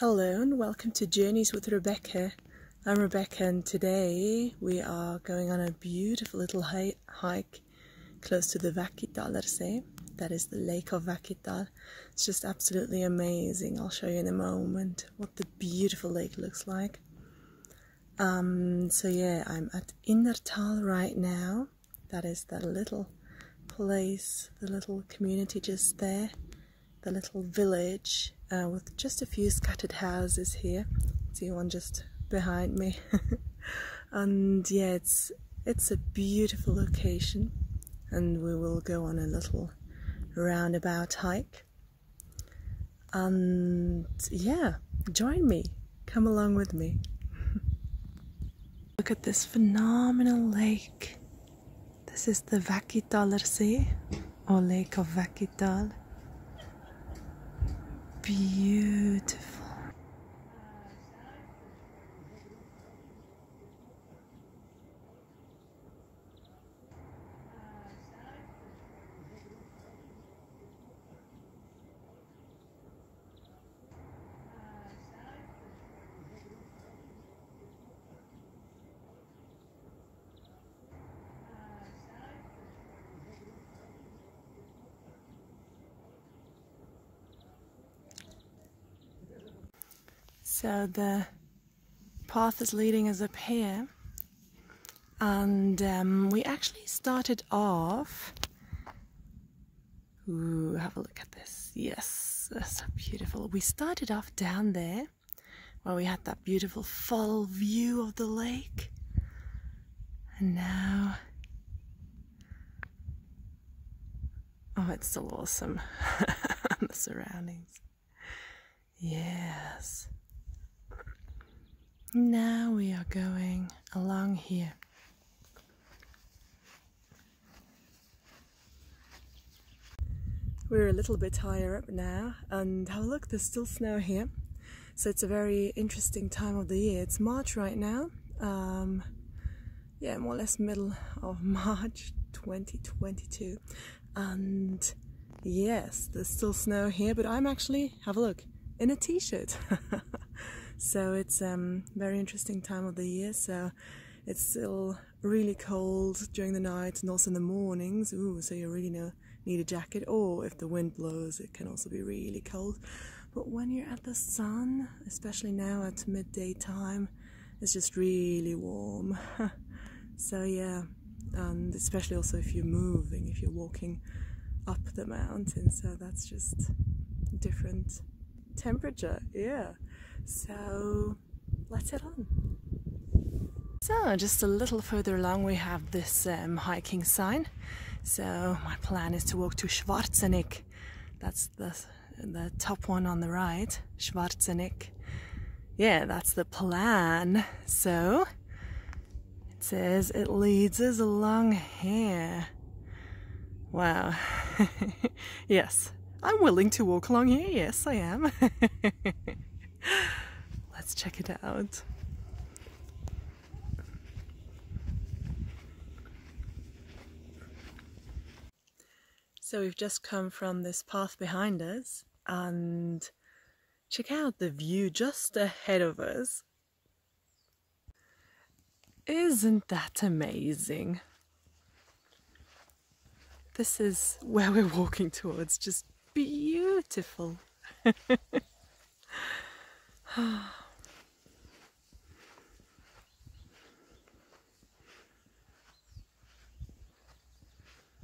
Hello and welcome to Journeys with Rebecca. I'm Rebecca and today we are going on a beautiful little hike close to the Vakitalarse. That is the lake of Wakital. It's just absolutely amazing. I'll show you in a moment what the beautiful lake looks like. Um, so yeah, I'm at Innertal right now. That is the little place, the little community just there the little village uh, with just a few scattered houses here. See one just behind me. and yeah, it's it's a beautiful location and we will go on a little roundabout hike. And yeah, join me. Come along with me. Look at this phenomenal lake. This is the Väki Vakitalarsi or Lake of Väki Tål. Beautiful. So the path is leading us up here, and um, we actually started off. have a look at. Yes, that's so beautiful. We started off down there where we had that beautiful full view of the lake. And now, oh, it's so awesome. the surroundings. Yes. Now we are going along here. We're a little bit higher up now and have a look, there's still snow here. So it's a very interesting time of the year. It's March right now. Um, yeah, more or less middle of March 2022. And yes, there's still snow here, but I'm actually, have a look, in a t-shirt. so it's a um, very interesting time of the year. So it's still really cold during the night and also in the mornings. Ooh, so you really need a jacket. Or if the wind blows, it can also be really cold. But when you're at the sun, especially now at midday time, it's just really warm. so yeah, and especially also if you're moving, if you're walking up the mountain. So that's just different temperature. Yeah. So Let's head on. So just a little further along we have this um, hiking sign. So my plan is to walk to Schwarzeneck. That's the, the top one on the right, Schwarzeneck. Yeah, that's the plan. So it says it leads us along here. Wow. yes, I'm willing to walk along here. Yes, I am. Let's check it out. So we've just come from this path behind us and check out the view just ahead of us. Isn't that amazing? This is where we're walking towards, just beautiful.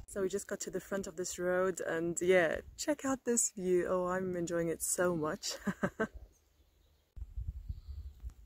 So we just got to the front of this road and yeah, check out this view. Oh, I'm enjoying it so much.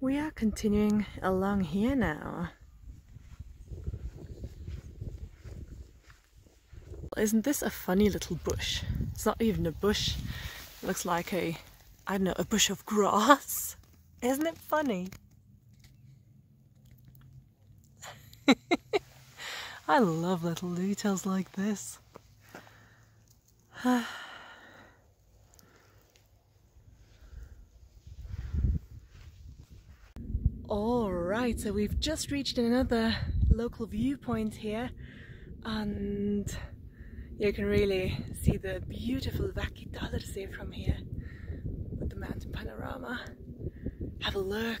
We are continuing along here now. Isn't this a funny little bush? It's not even a bush. It looks like a, I don't know, a bush of grass. Isn't it funny? I love little details like this. All right, so we've just reached another local viewpoint here and you can really see the beautiful Vaki Dalarse from here with the mountain panorama. Have a look.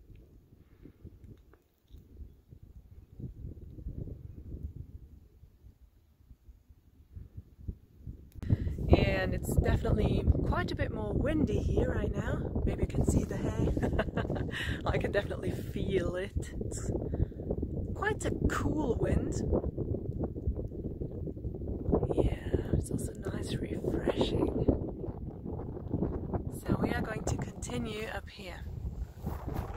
and it's definitely quite a bit more windy here right now. Maybe you can see the hay. I can definitely feel it. It's quite a cool wind. Yeah, it's also nice refreshing. So we are going to continue up here.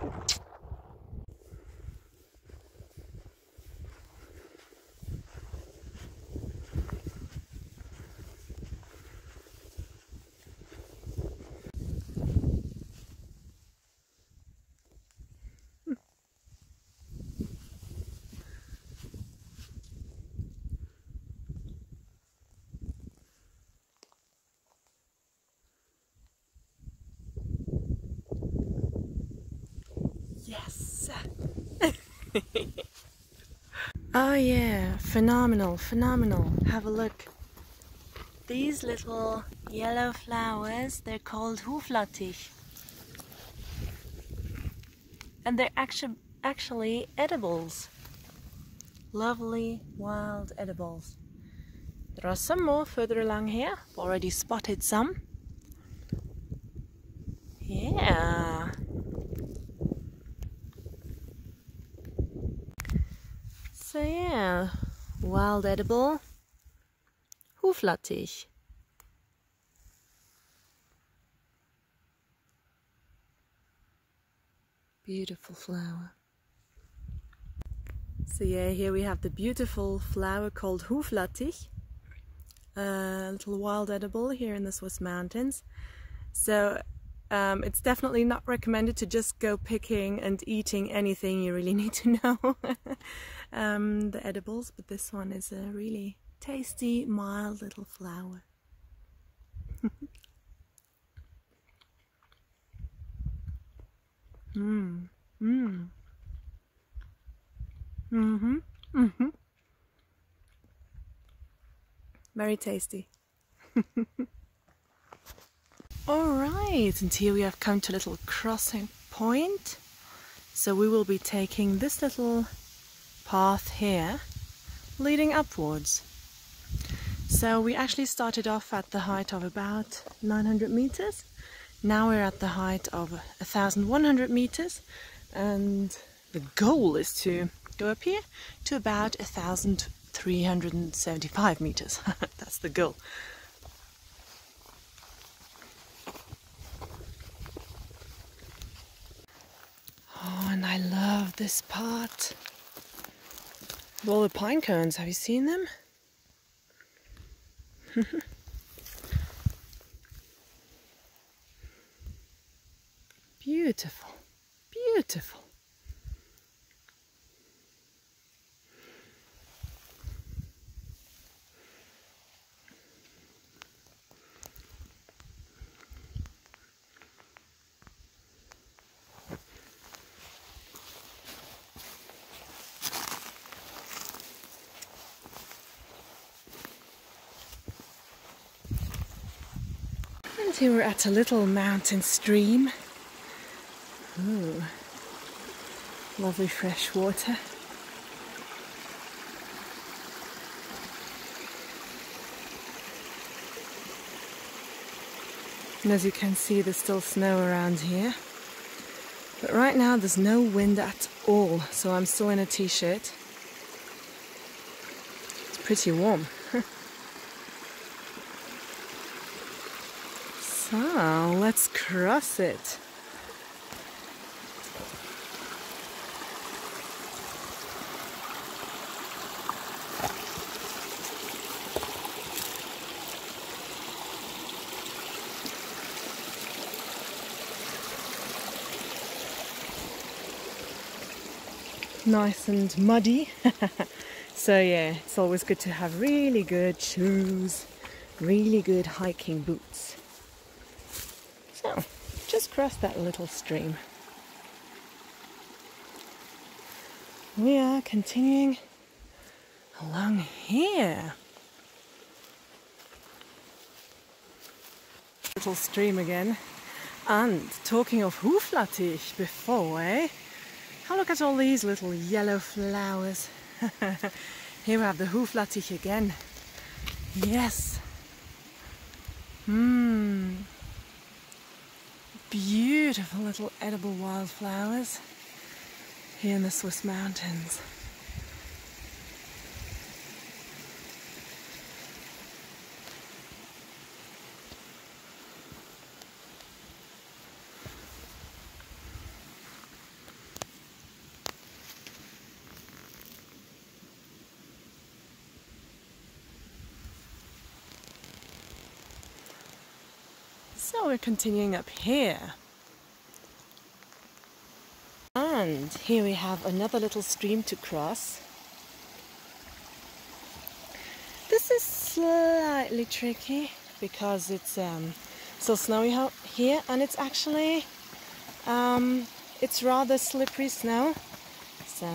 Yes! oh yeah, phenomenal, phenomenal. Have a look. These little yellow flowers, they're called Huflattich. And they're actu actually edibles. Lovely wild edibles. There are some more further along here. I've already spotted some. Yeah. So yeah, wild edible, Huflattich. Beautiful flower. So yeah, here we have the beautiful flower called Huflattich, a little wild edible here in the Swiss mountains. So um, it's definitely not recommended to just go picking and eating anything. You really need to know um, the edibles, but this one is a really tasty, mild little flower. Mmm. Mmm. Mm-hmm. Mm-hmm. Very tasty. All right, and here we have come to a little crossing point. So we will be taking this little path here leading upwards. So we actually started off at the height of about 900 meters. Now we're at the height of 1100 meters and the goal is to go up here to about 1375 meters. That's the goal. Oh, and I love this part. With all the pine cones, have you seen them? beautiful, beautiful. And here we're at a little mountain stream. lovely fresh water. And as you can see, there's still snow around here. But right now, there's no wind at all, so I'm still in a t shirt. It's pretty warm. so, let's cross it nice and muddy. so yeah, it's always good to have really good shoes, really good hiking boots. So, just crossed that little stream. We are continuing along here. Little stream again. And talking of Huflattich before, eh? Have a look at all these little yellow flowers. Here we have the Huflattich again. Yes, Mmm. Beautiful little edible wildflowers here in the Swiss mountains. So we're continuing up here. And here we have another little stream to cross. This is slightly tricky because it's um, so still snowy here and it's actually um, it's rather slippery snow so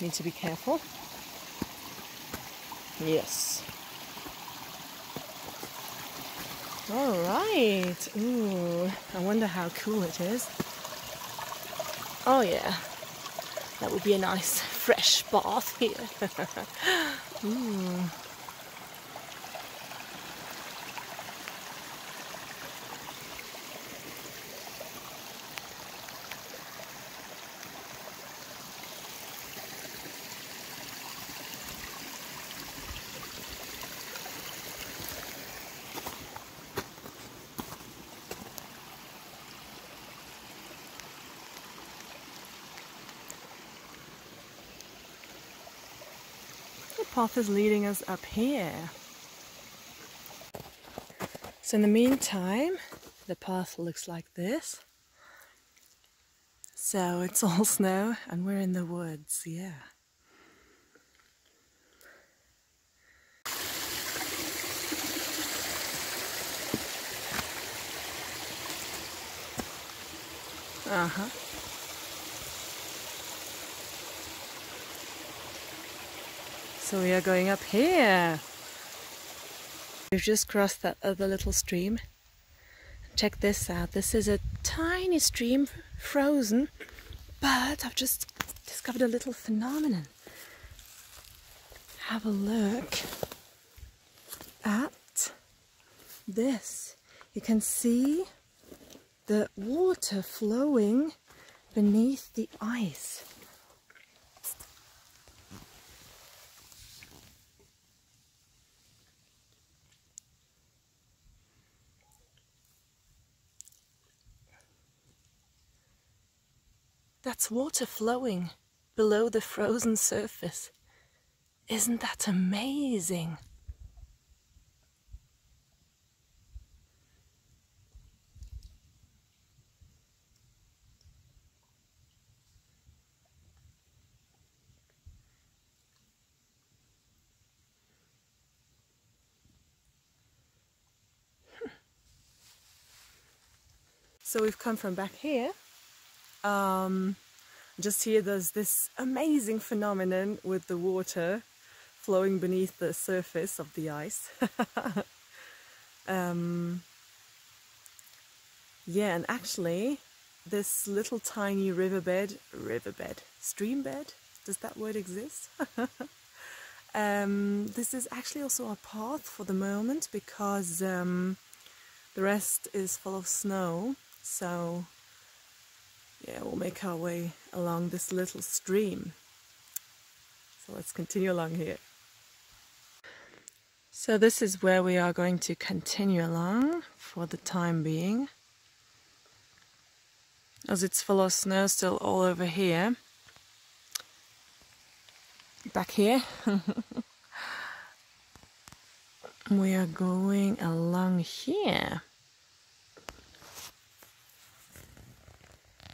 need to be careful. Yes. All right. Ooh, I wonder how cool it is. Oh yeah, that would be a nice fresh bath here. The path is leading us up here. So in the meantime, the path looks like this. So it's all snow and we're in the woods, yeah. Uh-huh. So we are going up here. We've just crossed that other little stream. Check this out. This is a tiny stream, frozen, but I've just discovered a little phenomenon. Have a look at this. You can see the water flowing beneath the ice. That's water flowing below the frozen surface. Isn't that amazing? So we've come from back here. Um, just here there's this amazing phenomenon with the water flowing beneath the surface of the ice. Um, yeah, and actually, this little tiny riverbed, riverbed, stream bed, does that word exist? Um, this is actually also our path for the moment because um, the rest is full of snow. So, yeah, we'll make our way along this little stream. So let's continue along here. So this is where we are going to continue along for the time being. As it's full of snow still all over here. Back here. we are going along here.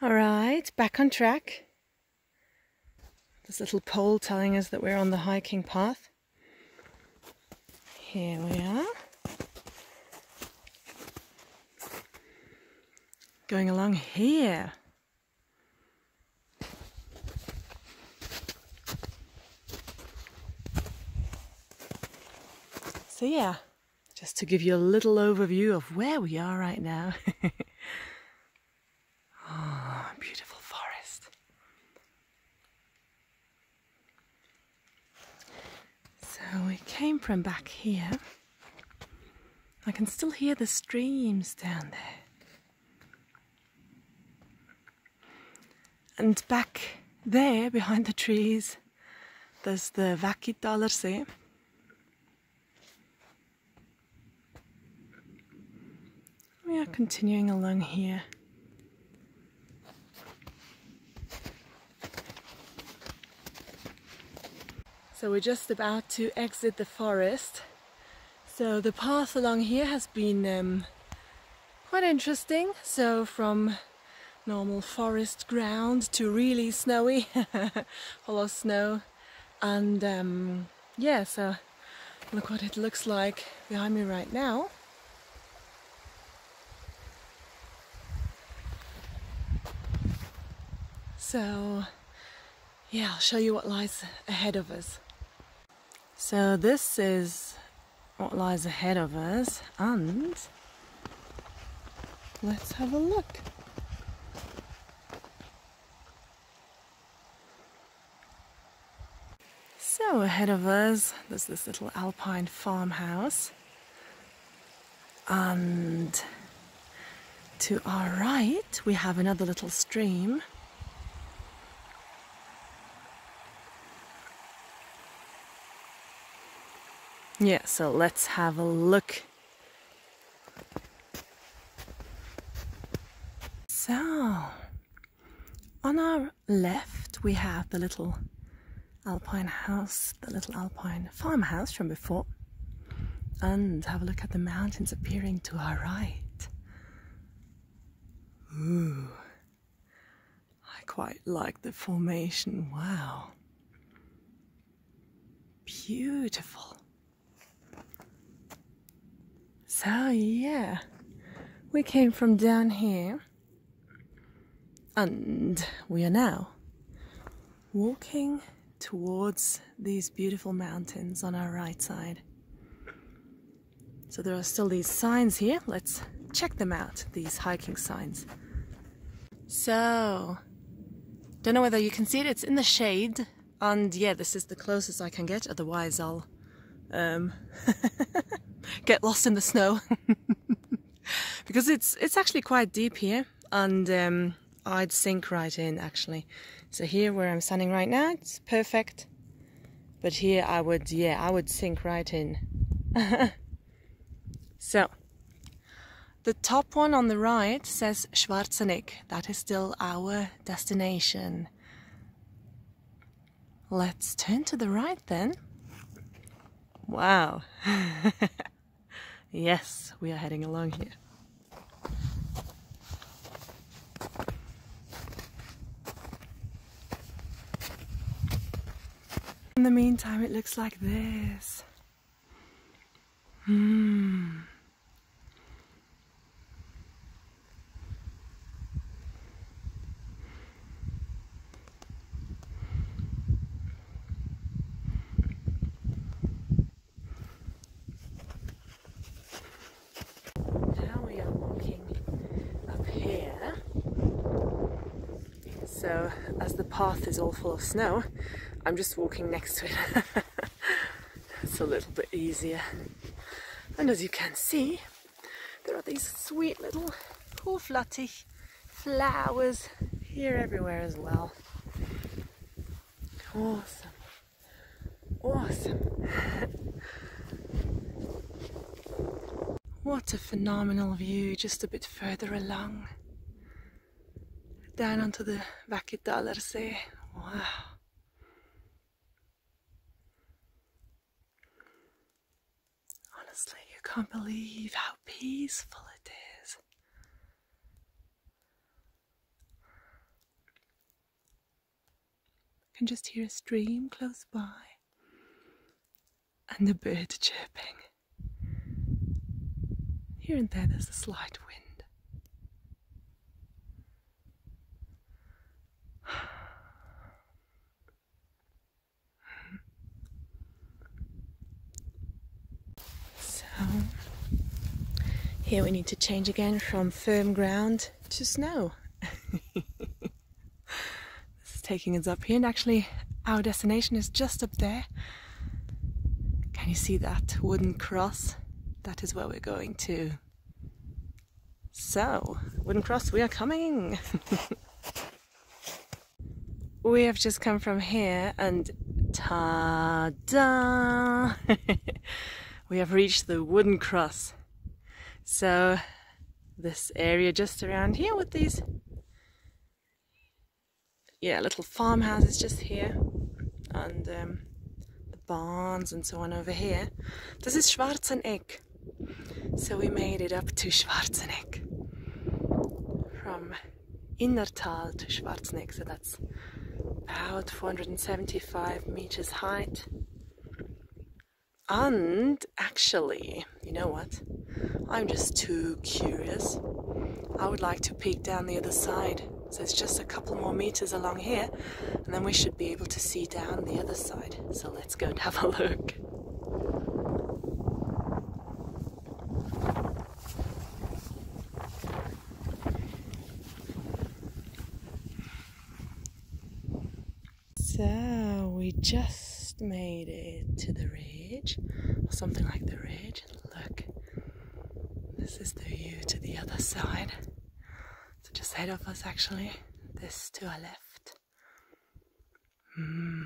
All right, back on track. This little pole telling us that we're on the hiking path. Here we are. Going along here. So yeah, just to give you a little overview of where we are right now. oh, beautiful forest. So we came from back here. I can still hear the streams down there. And back there behind the trees, there's the Vakitaler We are continuing along here. So we're just about to exit the forest so the path along here has been um, quite interesting. So from normal forest ground to really snowy, a lot of snow. And um, yeah, so look what it looks like behind me right now. So yeah, I'll show you what lies ahead of us. So this is what lies ahead of us and let's have a look. So ahead of us there's this little alpine farmhouse and to our right we have another little stream yeah, so let's have a look. So, on our left we have the little alpine house, the little alpine farmhouse from before. And have a look at the mountains appearing to our right. Ooh, I quite like the formation. Wow. Beautiful. So, yeah, we came from down here and we are now walking towards these beautiful mountains on our right side. So there are still these signs here. Let's check them out, these hiking signs. So, don't know whether you can see it, it's in the shade. And yeah, this is the closest I can get, otherwise I'll um, get lost in the snow. because it's it's actually quite deep here and um, I'd sink right in actually. So here where I'm standing right now, it's perfect but here I would, yeah, I would sink right in. so, the top one on the right says Schwarzenegg. That is still our destination. Let's turn to the right then. Wow. yes, we are heading along here. In the meantime, it looks like this. Mm. Now we are walking up here. So as the path is all full of snow, I'm just walking next to it. it's a little bit easier. And as you can see, there are these sweet little hooflattig flowers here everywhere as well. Awesome. Awesome. what a phenomenal view just a bit further along. Down onto the Vakidalarse. Wow. Honestly, you can't believe how peaceful it is can just hear a stream close by and a bird chirping. Here and there, there's a slight wind. So, here we need to change again from firm ground just now. this is taking us up here, and actually, our destination is just up there. Can you see that wooden cross? That is where we're going to. So, wooden cross, we are coming! we have just come from here, and ta da! we have reached the wooden cross. So this area just around here with these yeah little farmhouses just here and um, the barns and so on over here. This is Schwarzenegg. So we made it up to Schwarzenegg from Innertal to Schwarzenegg. So about 475 meters height. And actually, you know what? I'm just too curious. I would like to peek down the other side. So it's just a couple more meters along here, and then we should be able to see down the other side. So let's go and have a look. So we just made it to the ridge, or something like the ridge. Look, this is the view to the other side. So just ahead of us, actually, this to our left. Hmm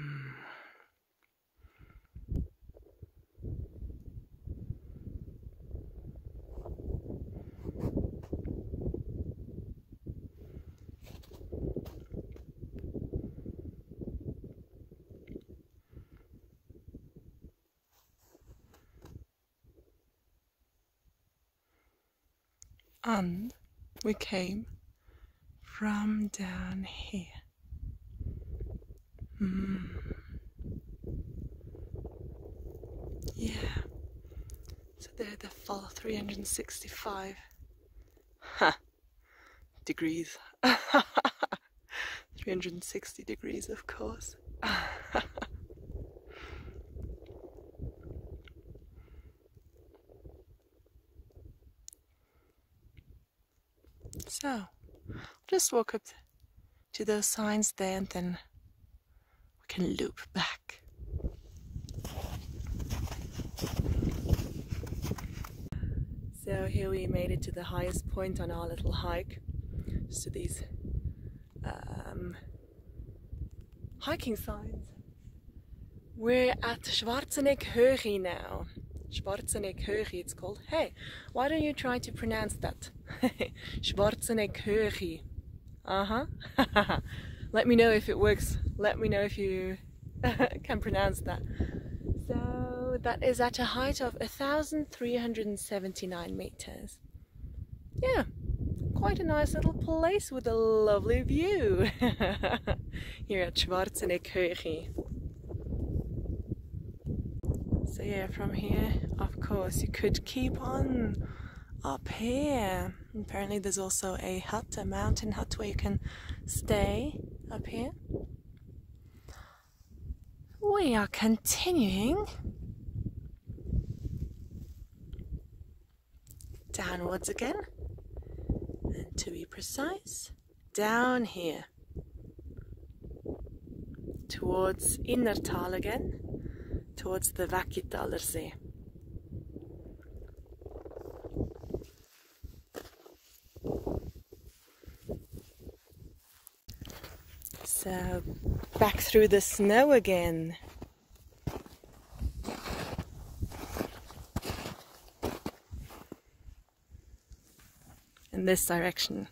and we came from down here. Mm. Yeah. So they're the full 365 degrees. 360 degrees, of course. so, just walk up to those signs there and then we can loop back. So here we made it to the highest point on our little hike, just to these um, hiking signs. We're at Schwarzenegg now. Schwarzenegg it's called. Hey, why don't you try to pronounce that? Schwarzenegg uh huh. Let me know if it works. Let me know if you can pronounce that. So that is at a height of 1,379 meters. Yeah, quite a nice little place with a lovely view here at Schwarzenegg So yeah, from here, of course, you could keep on up here. Apparently, there's also a hut, a mountain hut, where you can stay up here. We are continuing downwards again, and to be precise, down here towards Innertal again, towards the Vakitaler See. So back through the snow again. In this direction.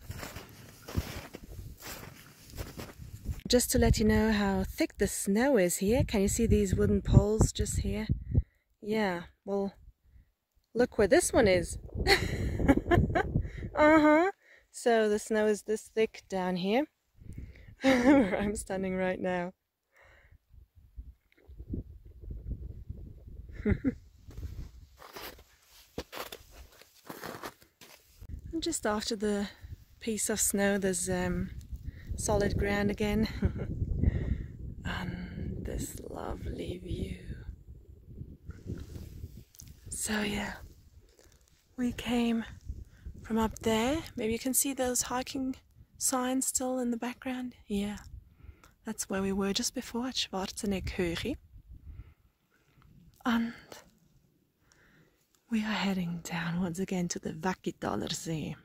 Just to let you know how thick the snow is here, can you see these wooden poles just here? Yeah, well, look where this one is. uh-huh. So the snow is this thick down here, where I'm standing right now. And just after the piece of snow there's um, solid ground again and this lovely view. So yeah, we came from up there. Maybe you can see those hiking signs still in the background. Yeah, that's where we were just before at Schwarzenegg And we are heading downwards again to the Vaki Dollar Sea.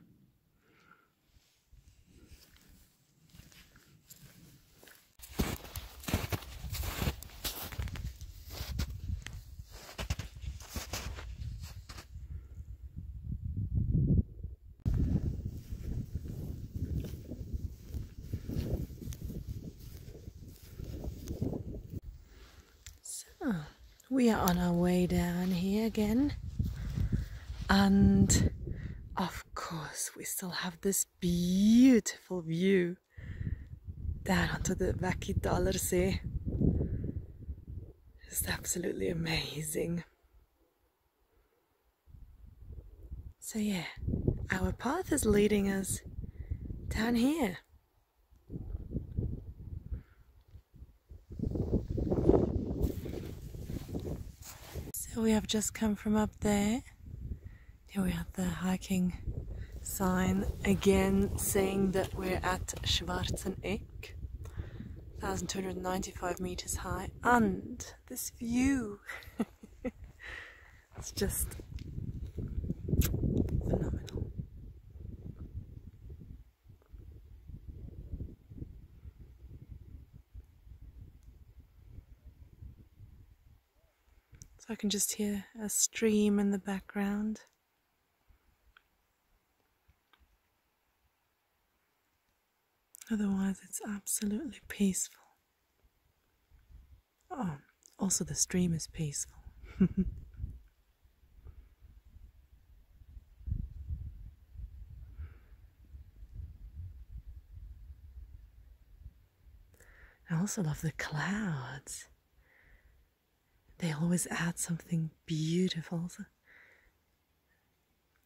So we are on our way down here again and of course we still have this beautiful view down onto the Vaki Dollar Sea. Just absolutely amazing. So yeah, our path is leading us down here so we have just come from up there. Here we have the hiking sign again saying that we're at Schwarzenegg, 1295 meters high, and this view. It's just phenomenal. So I can just hear a stream in the background. Otherwise, it's absolutely peaceful. Oh, also, the stream is peaceful. I also love the clouds. They always add something beautiful,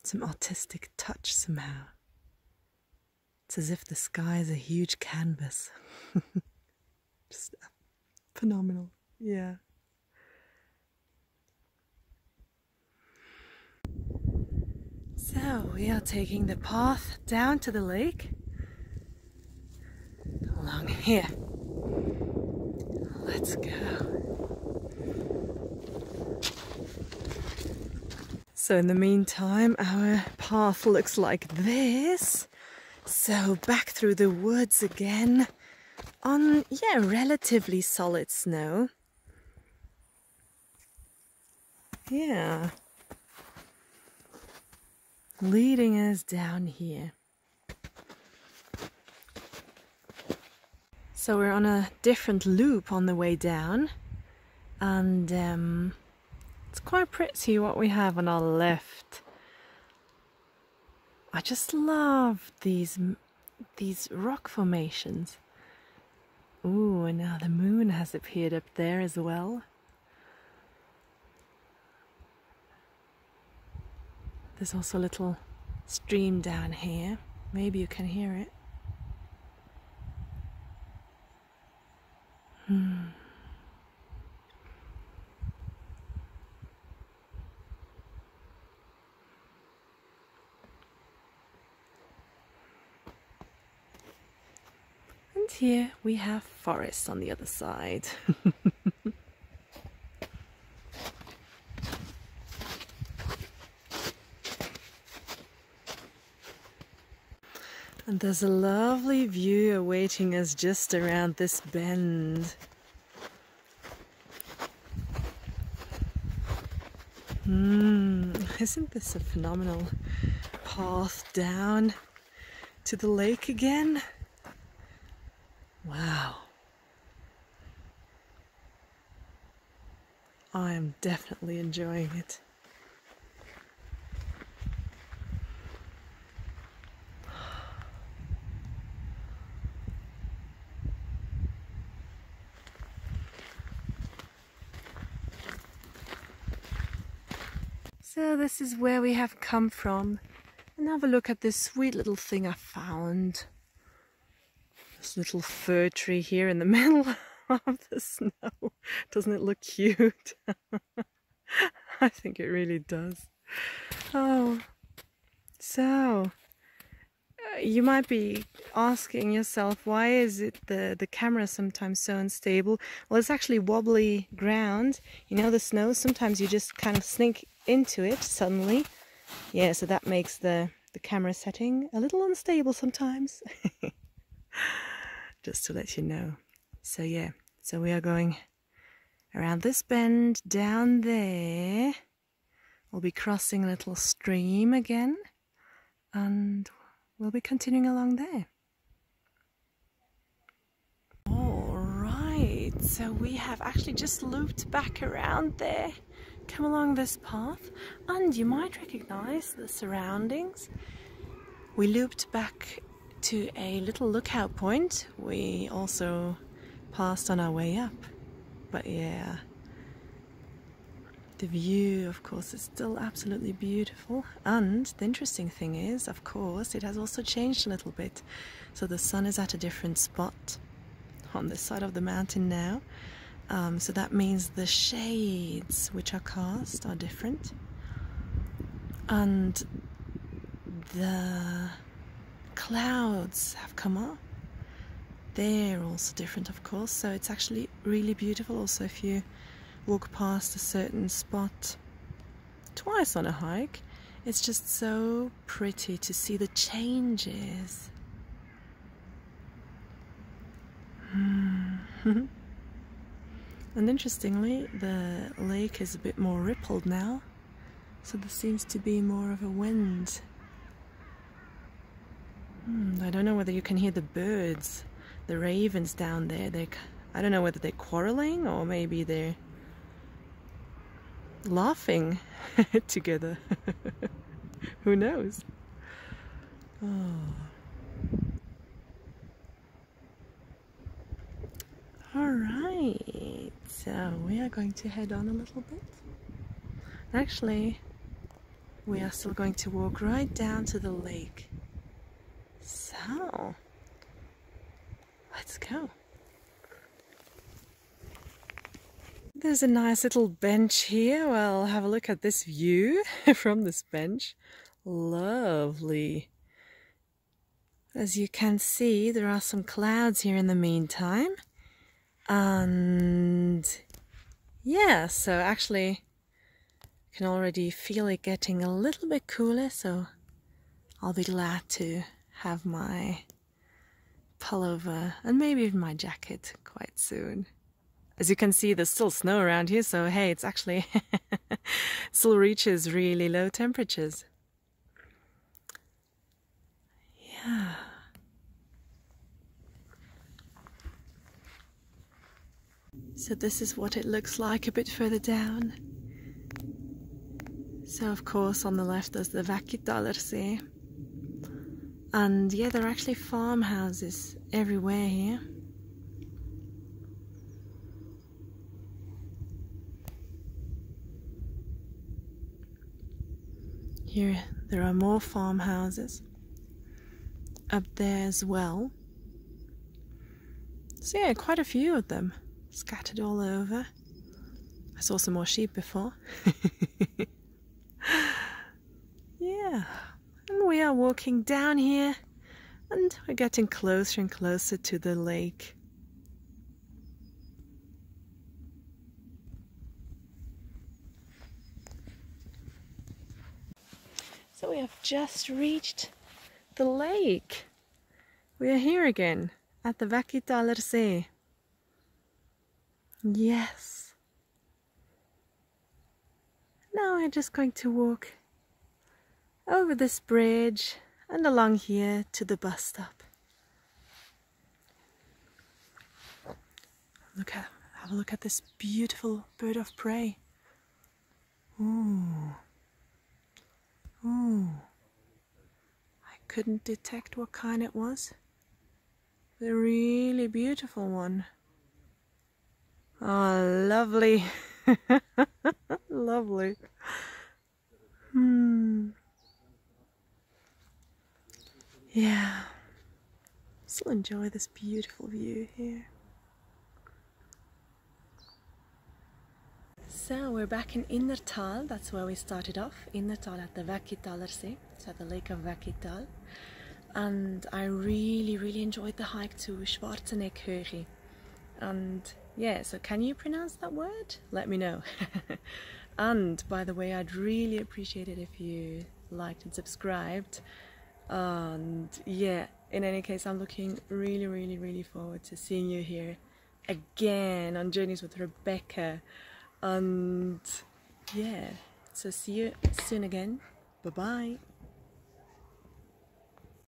some artistic touch somehow. It's as if the sky is a huge canvas. Just phenomenal. Yeah. So we are taking the path down to the lake along here. Let's go. So in the meantime, our path looks like this. So back through the woods again on, yeah, relatively solid snow. Yeah. Leading us down here. So we're on a different loop on the way down and um, it's quite pretty what we have on our left. I just love these these rock formations. Ooh, and now the moon has appeared up there as well. There's also a little stream down here. Maybe you can hear it. Hmm. And here we have forests on the other side. And there's a lovely view awaiting us just around this bend. Mm, isn't this a phenomenal path down to the lake again? Wow. I am definitely enjoying it. So this is where we have come from. And have a look at this sweet little thing I found. This little fir tree here in the middle of the snow. Doesn't it look cute? I think it really does. Oh, so uh, you might be asking yourself why is it the the camera sometimes so unstable? Well, it's actually wobbly ground. You know the snow. Sometimes you just kind of sneak into it suddenly. Yeah, so that makes the the camera setting a little unstable sometimes. just to let you know. So yeah, so we are going Around this bend down there, we'll be crossing a little stream again, and we'll be continuing along there. Alright, so we have actually just looped back around there. Come along this path, and you might recognize the surroundings. We looped back to a little lookout point we also passed on our way up. But yeah, the view, of course, is still absolutely beautiful. And the interesting thing is, of course, it has also changed a little bit. So the sun is at a different spot on the side of the mountain now. Um, so that means the shades which are cast are different and the clouds have come up they're also different of course so it's actually really beautiful also if you walk past a certain spot twice on a hike it's just so pretty to see the changes hmm. And interestingly, the lake is a bit more rippled now, so there seems to be more of a wind. Hmm, I don't know whether you can hear the birds, the ravens down there. They, I don't know whether they're quarreling or maybe they're laughing together. Who knows? Oh. All right, so we are going to head on a little bit. Actually, we are still going to walk right down to the lake. So, let's go. There's a nice little bench here. Well, have a look at this view from this bench. Lovely. As you can see, there are some clouds here in the meantime. And yeah, so actually I can already feel it getting a little bit cooler, so I'll be glad to have my pullover and maybe even my jacket quite soon. As you can see, there's still snow around here, so hey, it's actually still reaches really low temperatures. Yeah. So this is what it looks like a bit further down. So of course on the left there's the Vakitalerse. And yeah, there are actually farmhouses everywhere here. Here there are more farmhouses up there as well. So, yeah, quite a few of them scattered all over. I saw some more sheep before. yeah, and we are walking down here and we're getting closer and closer to the lake. So we have just reached the lake. We are here again at the Vakitaler See. Yes. Now we're just going to walk over this bridge and along here to the bus stop. Look at, have a look at this beautiful bird of prey. Ooh. Ooh. I couldn't detect what kind it was. The really beautiful one. Oh, lovely. Lovely. Hmm. Yeah. Still enjoy this beautiful view here. So we're back in Innertal, that's where we started off, Innertal at the Vakitalerse, so the lake of Vakital. And I really, really enjoyed the hike to Schwarzenegghöhe. And yeah, so can you pronounce that word? Let me know. and by the way, I'd really appreciate it if you liked and subscribed. And yeah, in any case, I'm looking really, really, really forward to seeing you here again on Journeys with Rebecca. And yeah, so see you soon again. Bye bye.